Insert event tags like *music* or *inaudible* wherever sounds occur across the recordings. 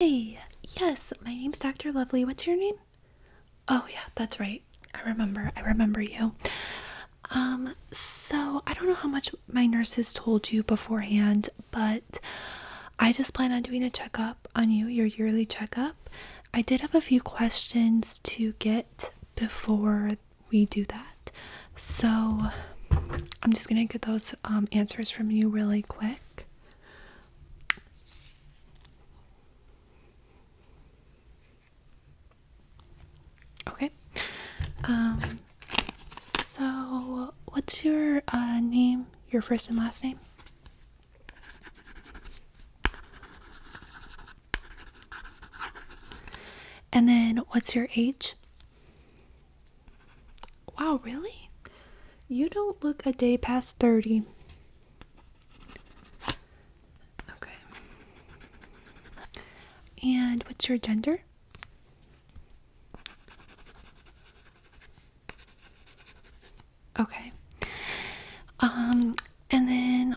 Hey, yes, my name's Dr. Lovely. What's your name? Oh, yeah, that's right. I remember. I remember you. Um, so I don't know how much my nurses told you beforehand, but I just plan on doing a checkup on you, your yearly checkup. I did have a few questions to get before we do that. So I'm just going to get those um, answers from you really quick. Okay. Um, so what's your uh, name, your first and last name? And then what's your age? Wow, really? You don't look a day past 30. Okay. And what's your gender? Okay. Um, and then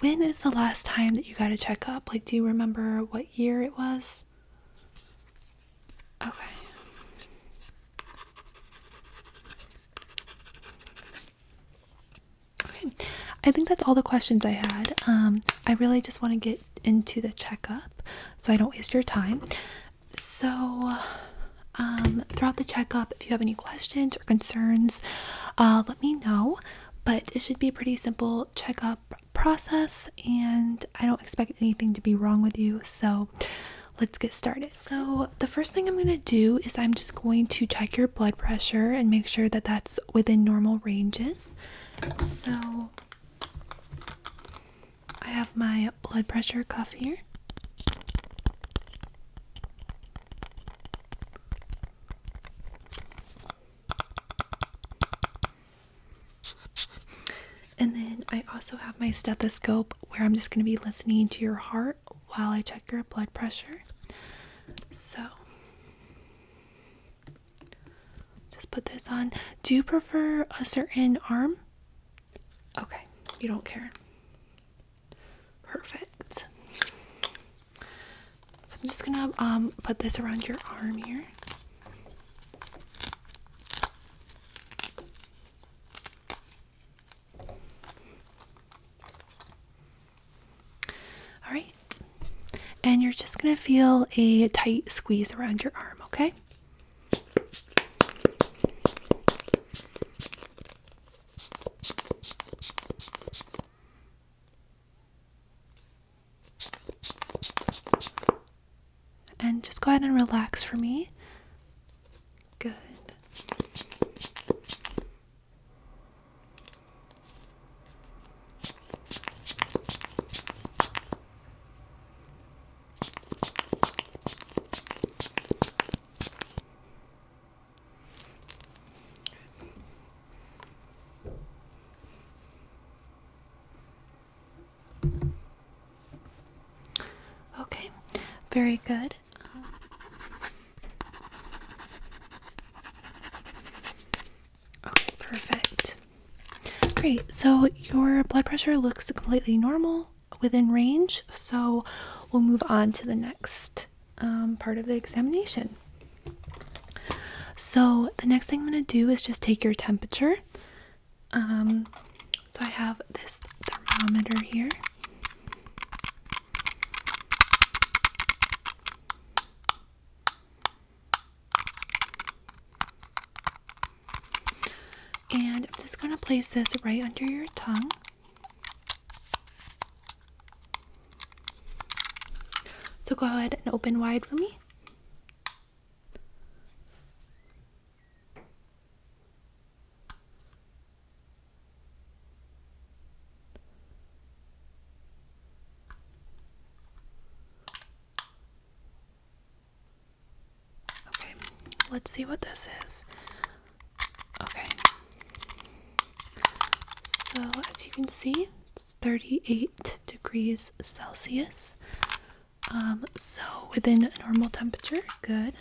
when is the last time that you got a checkup? Like, do you remember what year it was? Okay. Okay, I think that's all the questions I had. Um, I really just want to get into the checkup so I don't waste your time. So, um, throughout the checkup, if you have any questions or concerns, uh, let me know. But it should be a pretty simple checkup process, and I don't expect anything to be wrong with you. So, let's get started. So, the first thing I'm going to do is I'm just going to check your blood pressure and make sure that that's within normal ranges. So, I have my blood pressure cuff here. And then I also have my stethoscope where I'm just going to be listening to your heart while I check your blood pressure. So just put this on. Do you prefer a certain arm? Okay, you don't care. Perfect. So I'm just gonna um, put this around your arm here. All right. And you're just going to feel a tight squeeze around your arm, okay? And just go ahead and relax for me. Good. Okay, very good. perfect. Great, so your blood pressure looks completely normal within range, so we'll move on to the next um, part of the examination. So, the next thing I'm going to do is just take your temperature. Um, so I have this thermometer here. And I'm just going to place this right under your tongue. So go ahead and open wide for me. Okay, let's see what this is. Okay. So, as you can see, 38 degrees Celsius. Um, so within normal temperature, good.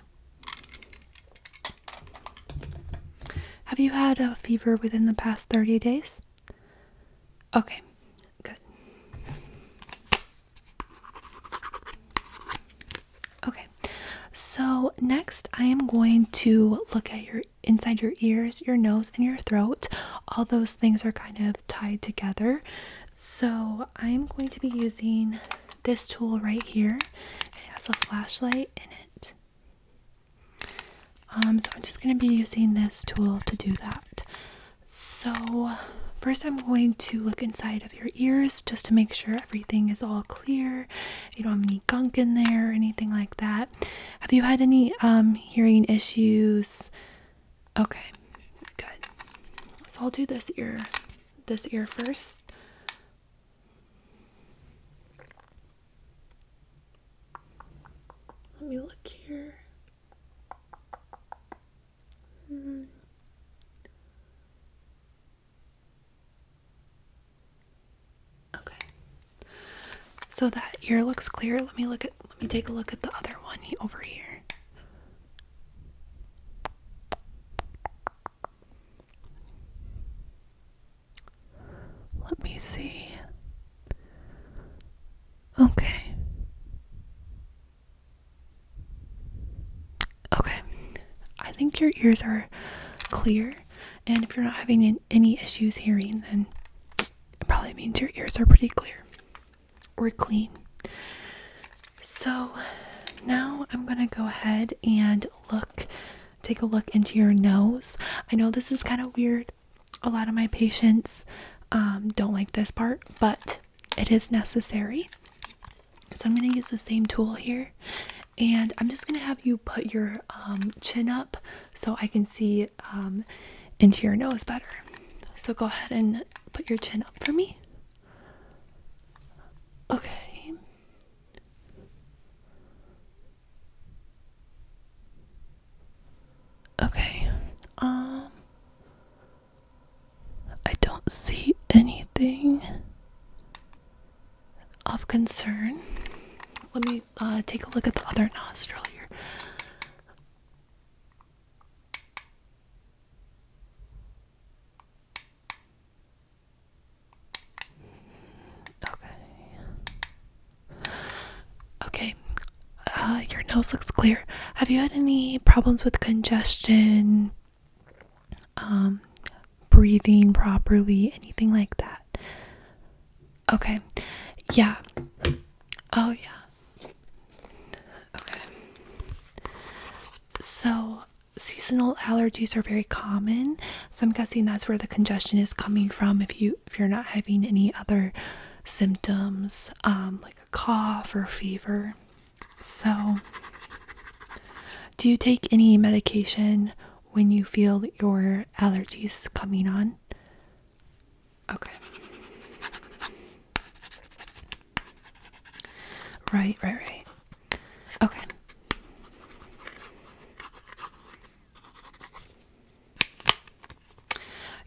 Have you had a fever within the past 30 days? Okay, good. Okay, so next I am going to look at your inside your ears, your nose, and your throat. All those things are kind of tied together. So I'm going to be using this tool right here. It has a flashlight in it. Um, so I'm just going to be using this tool to do that. So first I'm going to look inside of your ears just to make sure everything is all clear. You don't have any gunk in there or anything like that. Have you had any um, hearing issues? Okay, good. So I'll do this ear this ear first. Let me look here. Hmm. Okay. So that ear looks clear. Let me look at let me take a look at the other one over here. Let me see. Okay. Okay. I think your ears are clear, and if you're not having any issues hearing, then it probably means your ears are pretty clear or clean. So now I'm going to go ahead and look, take a look into your nose. I know this is kind of weird. A lot of my patients um, don't like this part, but it is necessary. So I'm going to use the same tool here and I'm just going to have you put your um, chin up so I can see um, into your nose better. So go ahead and put your chin up for me. Okay. Okay. Um I don't see anything of concern. Let me uh, take a look at the other nostril here. Okay. Okay. Uh, your nose looks clear. Have you had any problems with congestion? Um, breathing properly, anything like that? Okay. Yeah. Oh, yeah. Okay. So, seasonal allergies are very common so i'm guessing that's where the congestion is coming from if you if you're not having any other symptoms um, like a cough or fever so do you take any medication when you feel your allergies coming on okay Right, right, right. Okay.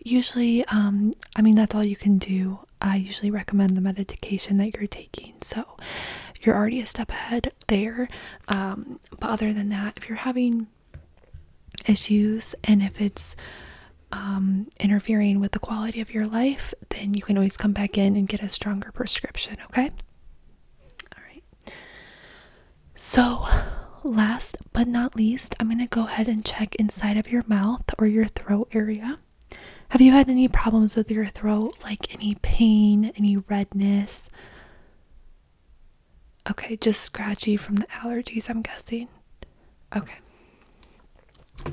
Usually, um, I mean, that's all you can do. I usually recommend the medication that you're taking. So you're already a step ahead there. Um, but other than that, if you're having issues and if it's um, interfering with the quality of your life, then you can always come back in and get a stronger prescription, okay? All right. So, last but not least, I'm going to go ahead and check inside of your mouth or your throat area. Have you had any problems with your throat, like any pain, any redness? Okay, just scratchy from the allergies, I'm guessing. Okay.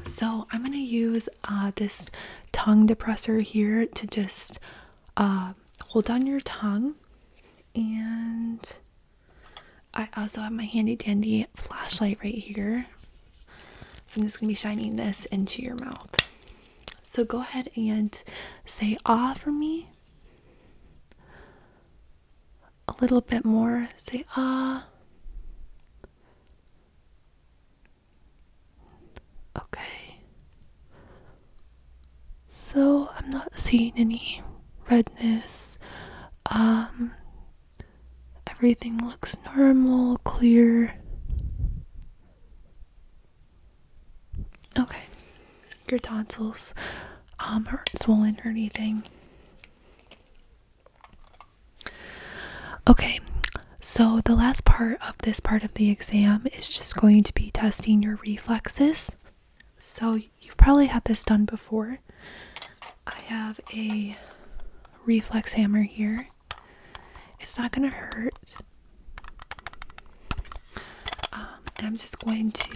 So I'm gonna use uh, this tongue depressor here to just uh, hold down your tongue, and I also have my handy dandy flashlight right here. So I'm just gonna be shining this into your mouth. So go ahead and say ah for me. A little bit more. Say ah. Okay. So I'm not seeing any redness. Um everything looks normal, clear. Okay. Your tonsils um aren't swollen or anything. Okay, so the last part of this part of the exam is just going to be testing your reflexes. So you've probably had this done before. I have a reflex hammer here. It's not going to hurt. Um, I'm just going to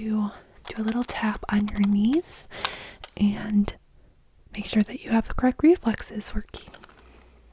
do a little tap on your knees and make sure that you have the correct reflexes working.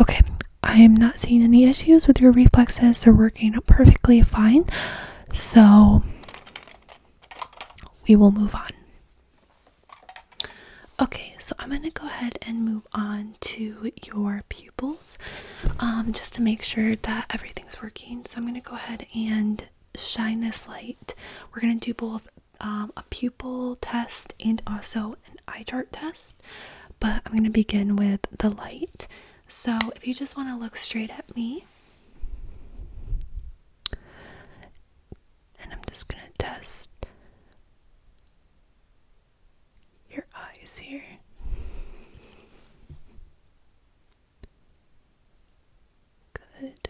Okay, I am not seeing any issues with your reflexes. They're working perfectly fine. So we will move on. Okay, so I'm going to go ahead and move on to your pupils um, just to make sure that everything's working. So I'm going to go ahead and shine this light. We're going to do both um, a pupil test and also an eye chart test, but I'm going to begin with the light. So, if you just want to look straight at me, and I'm just going to test your eyes here. Good.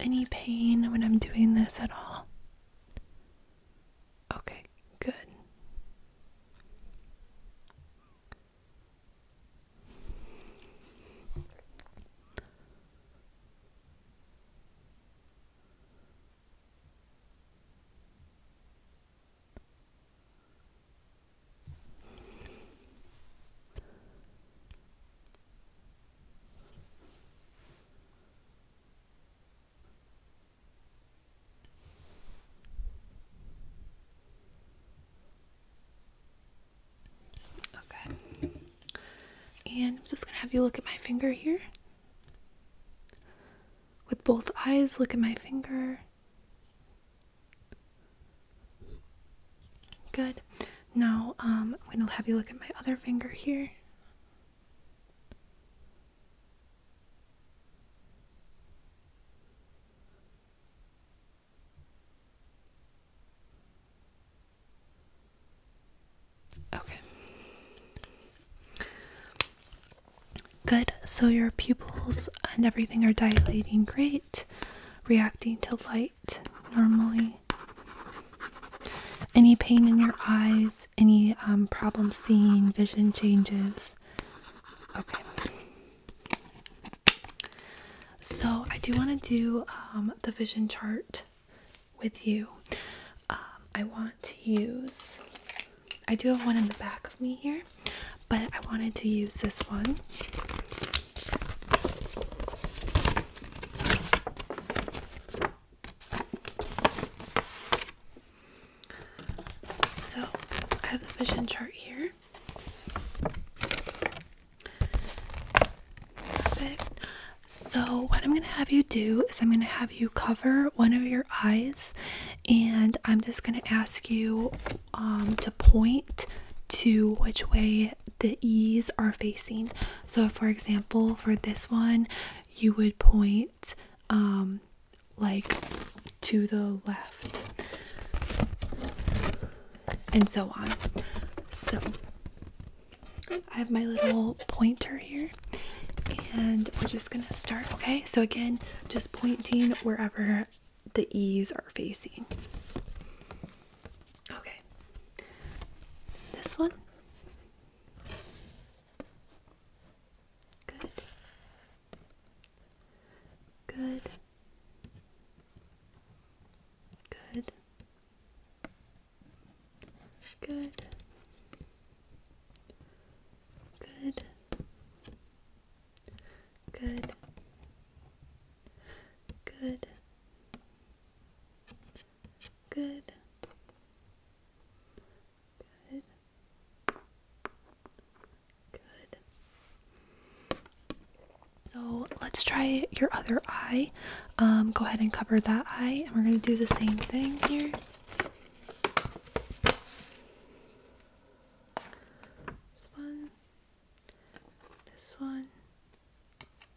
Any pain when I'm doing this at all? Okay, good. Okay. And I'm just going to have you look at my finger here. With both eyes, look at my finger. Good. Now um, I'm going to have you look at my other finger here. Okay. Good. So your pupils and everything are dilating great, reacting to light normally. Any pain in your eyes? Any um, problem seeing? Vision changes? Okay. So I do want to do um, the vision chart with you. Um, I want to use. I do have one in the back of me here, but I wanted to use this one. So I have the vision chart here. Perfect. So, what I'm going to have you do is I'm going to have you cover one of your eyes, and I'm just going to ask you um, to point to which way the E's are facing. So, for example, for this one, you would point um, like to the left and so on. So, I have my little pointer here and we're just gonna start. Okay, so again, just pointing wherever the E's are facing. Okay. This one? Good. Good. Good. Good. Good. Good. Good. Good. Good. Good. Good. So let's try your other eye. Um, go ahead and cover that eye, and we're going to do the same thing here. This one, this one,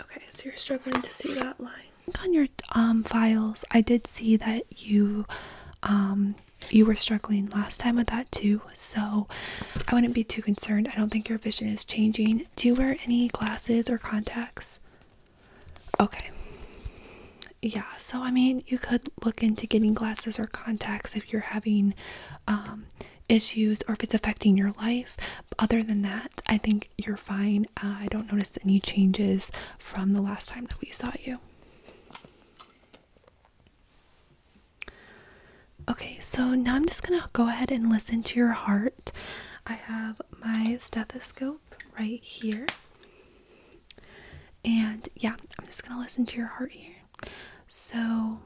Okay, so you're struggling to see that line. On your um files, I did see that you um you were struggling last time with that too, so I wouldn't be too concerned. I don't think your vision is changing. Do you wear any glasses or contacts? Okay yeah, so I mean, you could look into getting glasses or contacts if you're having um, issues or if it's affecting your life. Other than that, I think you're fine. Uh, I don't notice any changes from the last time that we saw you. Okay, so now I'm just gonna go ahead and listen to your heart. I have my stethoscope right here. And yeah, I'm just gonna listen to your heart here. So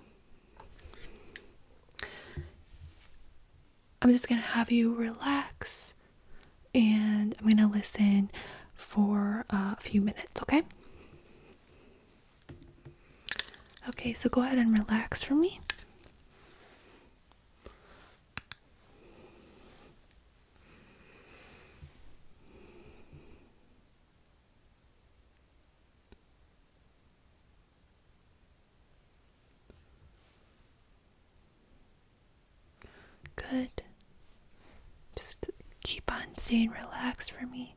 I'm just gonna have you relax and I'm gonna listen for uh, a few minutes, okay? Okay, so go ahead and relax for me. Good. Just keep on saying relax for me.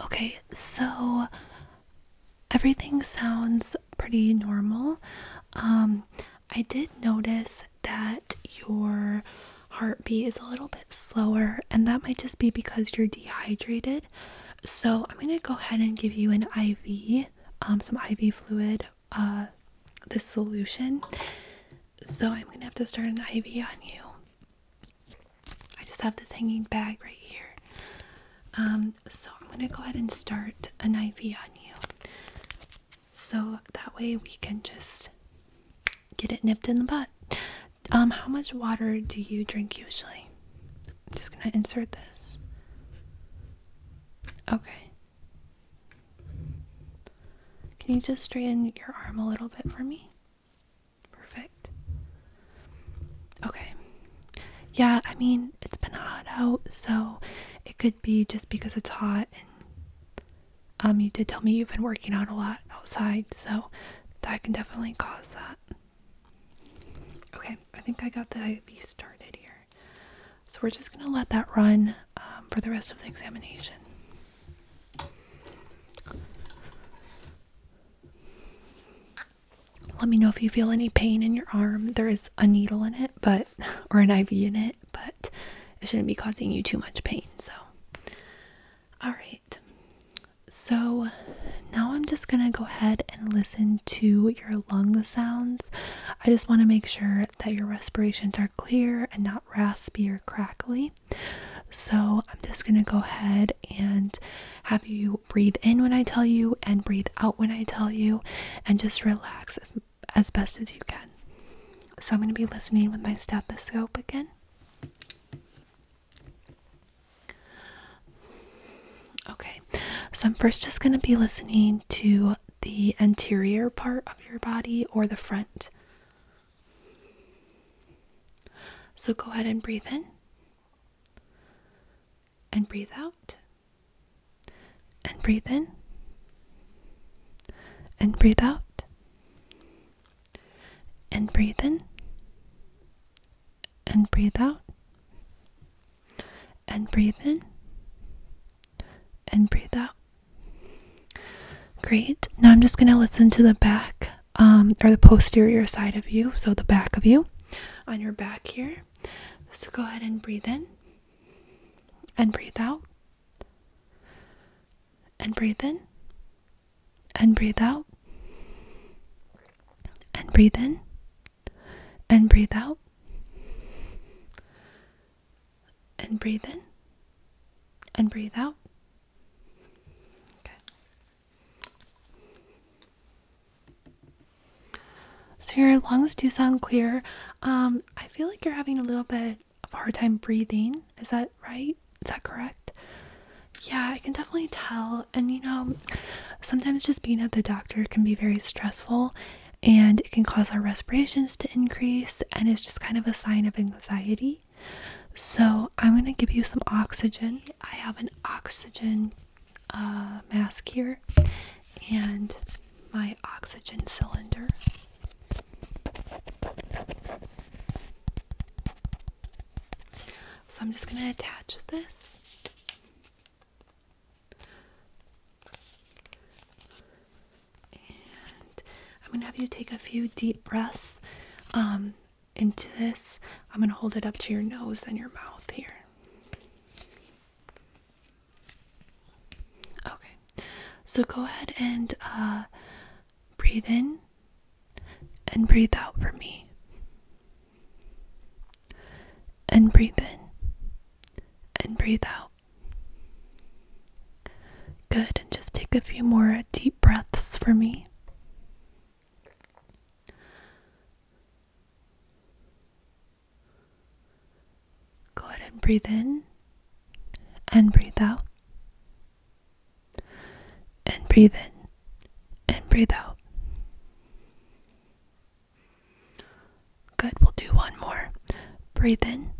Okay, so everything sounds pretty normal. Um, I did notice that your heartbeat is a little bit slower, and that might just be because you're dehydrated. So, I'm going to go ahead and give you an IV, um, some IV fluid, uh, this solution. So, I'm going to have to start an IV on you. I just have this hanging bag right here. Um, so I'm going to go ahead and start an IV on you so that way we can just get it nipped in the butt. Um, how much water do you drink usually? I'm just gonna insert this. Okay. Can you just straighten your arm a little bit for me? Perfect. Okay. Yeah, I mean, it's been hot out, so it could be just because it's hot and um, you did tell me you've been working out a lot outside, so that can definitely cause that. Okay, I think I got the IV started here. So we're just going to let that run um, for the rest of the examination. Let me know if you feel any pain in your arm. There is a needle in it, but, or an IV in it, but it shouldn't be causing you too much pain. So, all right. So now I'm just going to go ahead and listen to your lung sounds. I just want to make sure that your respirations are clear and not raspy or crackly. So I'm just going to go ahead and have you breathe in when I tell you and breathe out when I tell you and just relax as as best as you can. So I'm going to be listening with my stethoscope again. Okay, so I'm first just going to be listening to the anterior part of your body or the front. So go ahead and breathe in and breathe out and breathe in and breathe out and breathe in. And breathe out. And breathe in. And breathe out. Great. Now I'm just going to listen to the back um, or the posterior side of you, so the back of you on your back here. So go ahead and breathe in and breathe out and breathe in and breathe out and breathe in and breathe out and breathe in and breathe out. Okay. So your lungs do sound clear. Um, I feel like you're having a little bit had a hard time breathing. Is that right? Is that correct? Yeah, I can definitely tell. And you know, sometimes just being at the doctor can be very stressful and it can cause our respirations to increase, and it's just kind of a sign of anxiety. So, I'm going to give you some oxygen. I have an oxygen uh, mask here and my oxygen cylinder. So I'm just going to attach this. And I'm going to have you take a few deep breaths um, into this. I'm going to hold it up to your nose and your mouth here. Okay, so go ahead and uh, Breathe in and breathe out for me. And breathe in and breathe out. Good, and just take a few more deep breaths for me. Go ahead and breathe in and breathe out. And breathe in and breathe out. Good, we'll do one more. Breathe in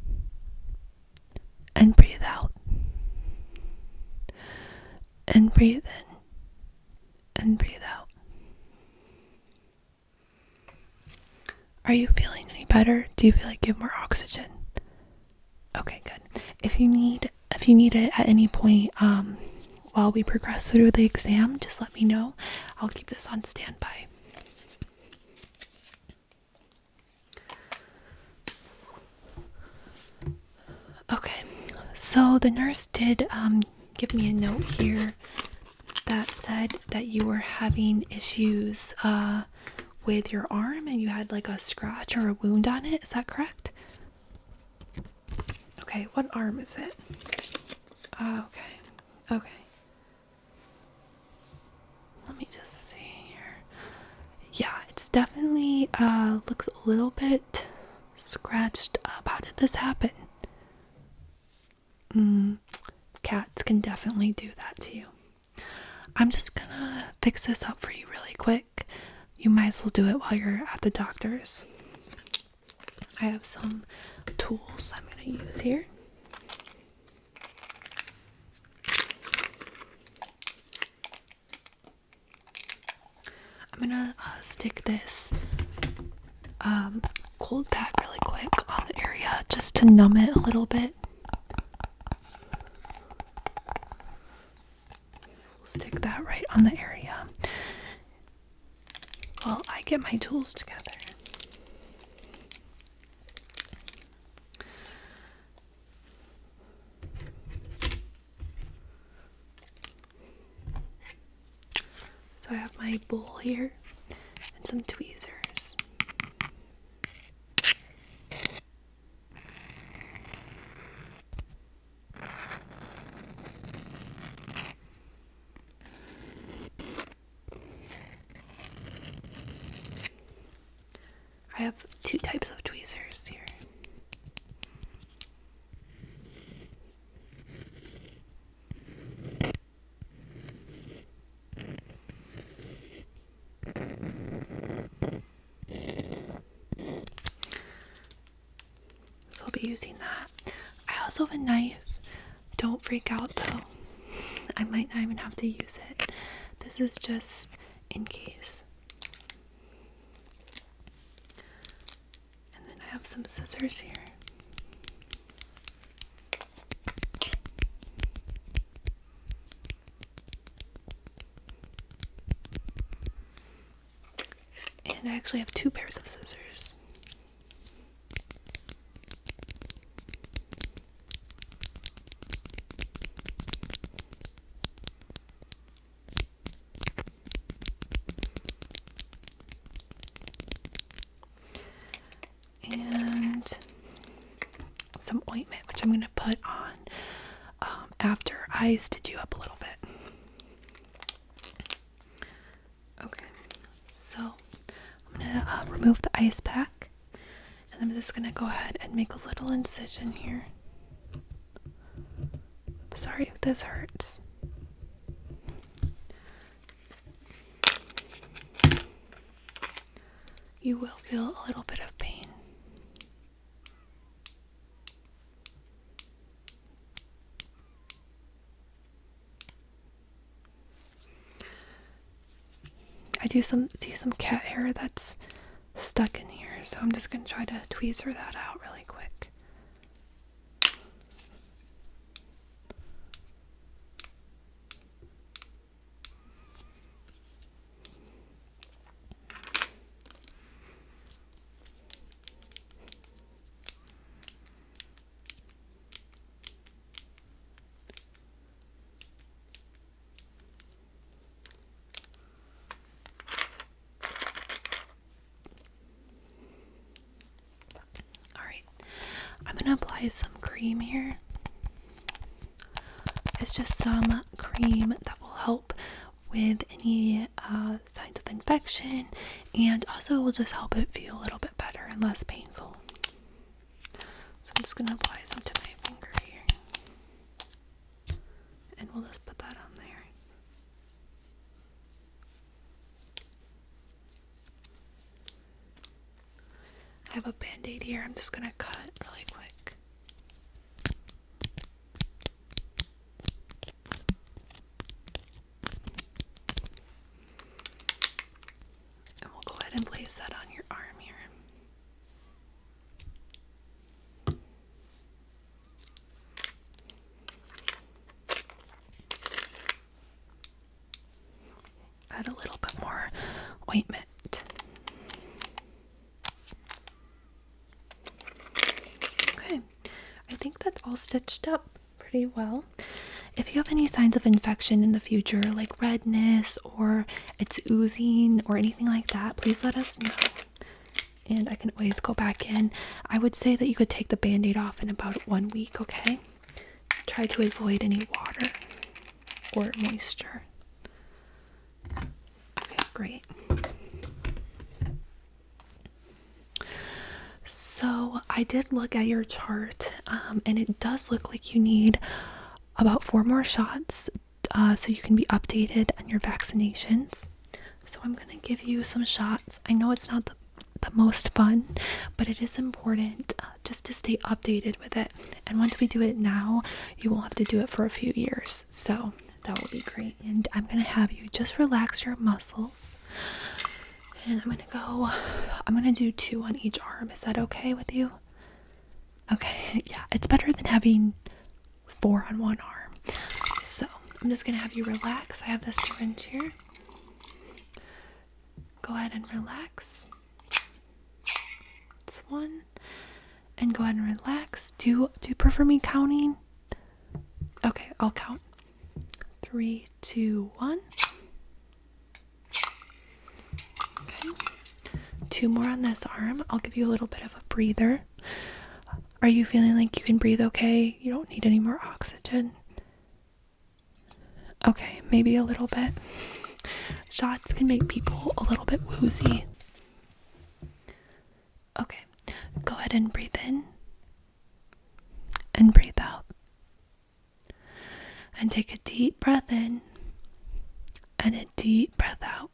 and breathe out. And breathe in and breathe out. Are you feeling any better? Do you feel like you have more oxygen? Okay, good. If you need if you need it at any point um, while we progress through the exam, just let me know. I'll keep this on standby. Okay, so the nurse did um, give me a note here that said that you were having issues uh, with your arm and you had like a scratch or a wound on it. Is that correct? Okay, what arm is it? Uh, okay, okay. Let me just see here. Yeah, it's definitely uh, looks a little bit scratched up. How did this happen? Mm, cats can definitely do that to you. I'm just gonna fix this up for you really quick. You might as well do it while you're at the doctor's. I have some tools I'm gonna use here. I'm gonna uh, stick this um, cold pack really quick on the area just to numb it a little bit. We'll stick that right on the area while I get my tools together. So I have my bowl here and some tweezers. I have two types of tweezers here. So I'll be using that. I also have a knife. Don't freak out though. I might not even have to use it. This is just in case. And then I have some scissors here. And I actually have two pairs of scissors. And some ointment, which I'm going to put on um, after eyes Did you up a little bit. Okay, so I'm going to uh, remove the ice pack and I'm just going to go ahead and make a little incision here. Sorry if this hurts you will feel a little bit of pain. I do some see some cat hair that's stuck in here, so I'm just gonna try to tweezer that out really quick. All right, I'm going to apply some cream here. It's just some cream that will help with any uh, signs of infection and also will just help it feel a little bit better and less painful. So I'm just going to apply some to my finger here. And we'll just put that on there. I have a band aid here. I'm just going to cut really quick. And we'll go ahead and place that on your arm here. Add a little bit more ointment. Okay, I think that's all stitched up pretty well. If you have any signs of infection in the future, like redness or it's oozing or anything like that, please let us know. And I can always go back in. I would say that you could take the band aid off in about one week, okay? Try to avoid any water or moisture. Okay, great. So, I did look at your chart, um, and it does look like you need about four more shots uh, so you can be updated on your vaccinations. So, I'm going to give you some shots. I know it's not the, the most fun, but it is important uh, just to stay updated with it. And once we do it now, you won't have to do it for a few years. So that will be great. And I'm gonna have you just relax your muscles. And I'm gonna go, I'm gonna do two on each arm. Is that okay with you? Okay, *laughs* yeah, it's better than having four on one arm. So I'm just gonna have you relax. I have the syringe here. Go ahead and relax. It's one and go ahead and relax. Do you, do you prefer me counting? Okay, I'll count. Three, two, one. Okay. Two more on this arm. I'll give you a little bit of a breather. Are you feeling like you can breathe okay? You don't need any more oxygen? Okay, maybe a little bit. Shots can make people a little bit woozy. Okay, go ahead and breathe in and breathe out. And take a deep breath in and a deep breath out.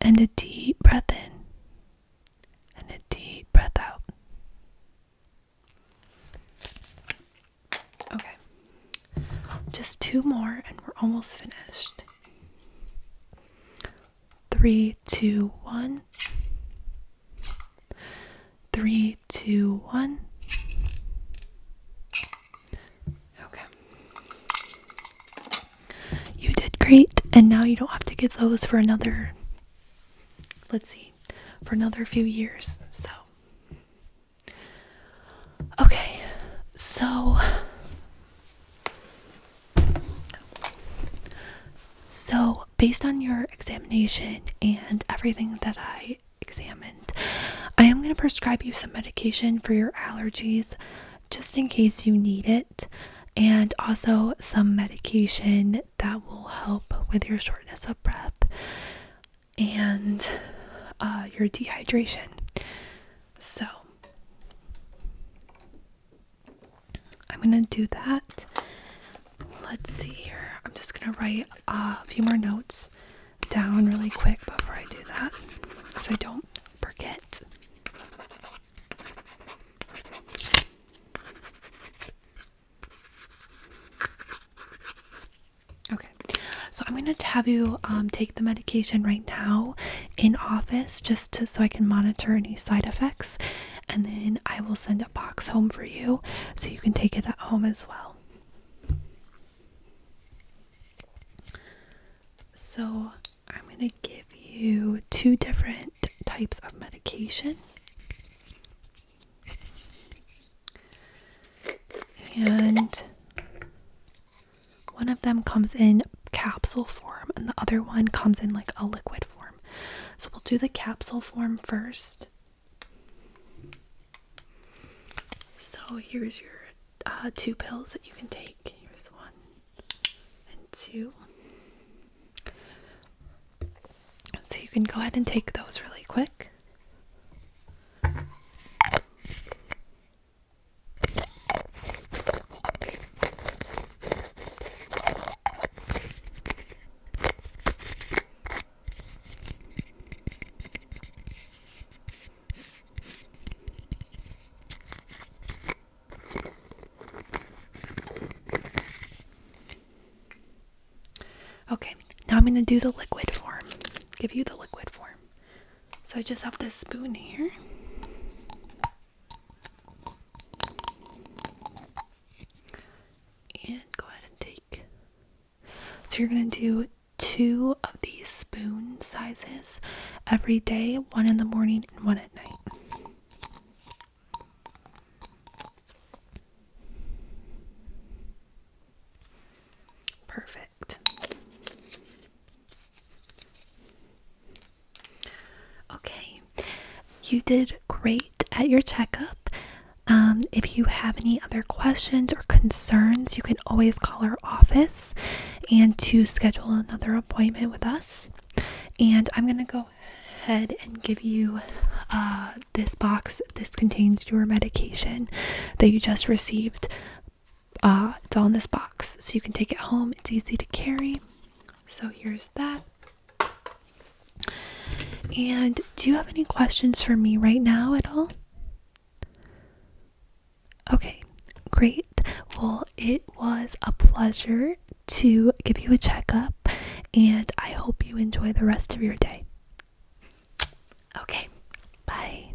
And a deep breath in and a deep breath out. Okay. Just two more and we're almost finished. Three, two, one. Three, two, one. Okay. You did great, and now you don't have to get those for another, let's see, for another few years. So, Okay, so so based on your examination and everything that I examined, I am going to prescribe you some medication for your allergies just in case you need it, and also some medication that will help with your shortness of breath and uh, your dehydration. So I'm gonna do that. Let's see here. I'm just gonna write uh, a few more notes down really quick before I do that so I don't forget. Okay, so I'm gonna have you um, take the medication right now in office just so I can monitor any side effects, and then I will send a box home for you so you can take it at home as well. So I'm gonna give you two different types of medication. And one of them comes in capsule form and the other one comes in like a liquid form. So we'll do the capsule form first. So here's your uh, two pills that you can take. Here's one and two. So you can go ahead and take those really quick. Okay, now I'm going to do the liquid form. Give you the liquid form. So I just have this spoon here. And go ahead and take. So you're going to do two of these spoon sizes every day one in the morning and one at night. Perfect. Okay, you did great at your checkup. Um, if you have any other questions or concerns, you can always call our office and to schedule another appointment with us. And I'm going to go ahead and give you uh, this box. This contains your medication that you just received uh, it's all in this box so you can take it home it's easy to carry so here's that and do you have any questions for me right now at all okay great well it was a pleasure to give you a checkup and i hope you enjoy the rest of your day okay bye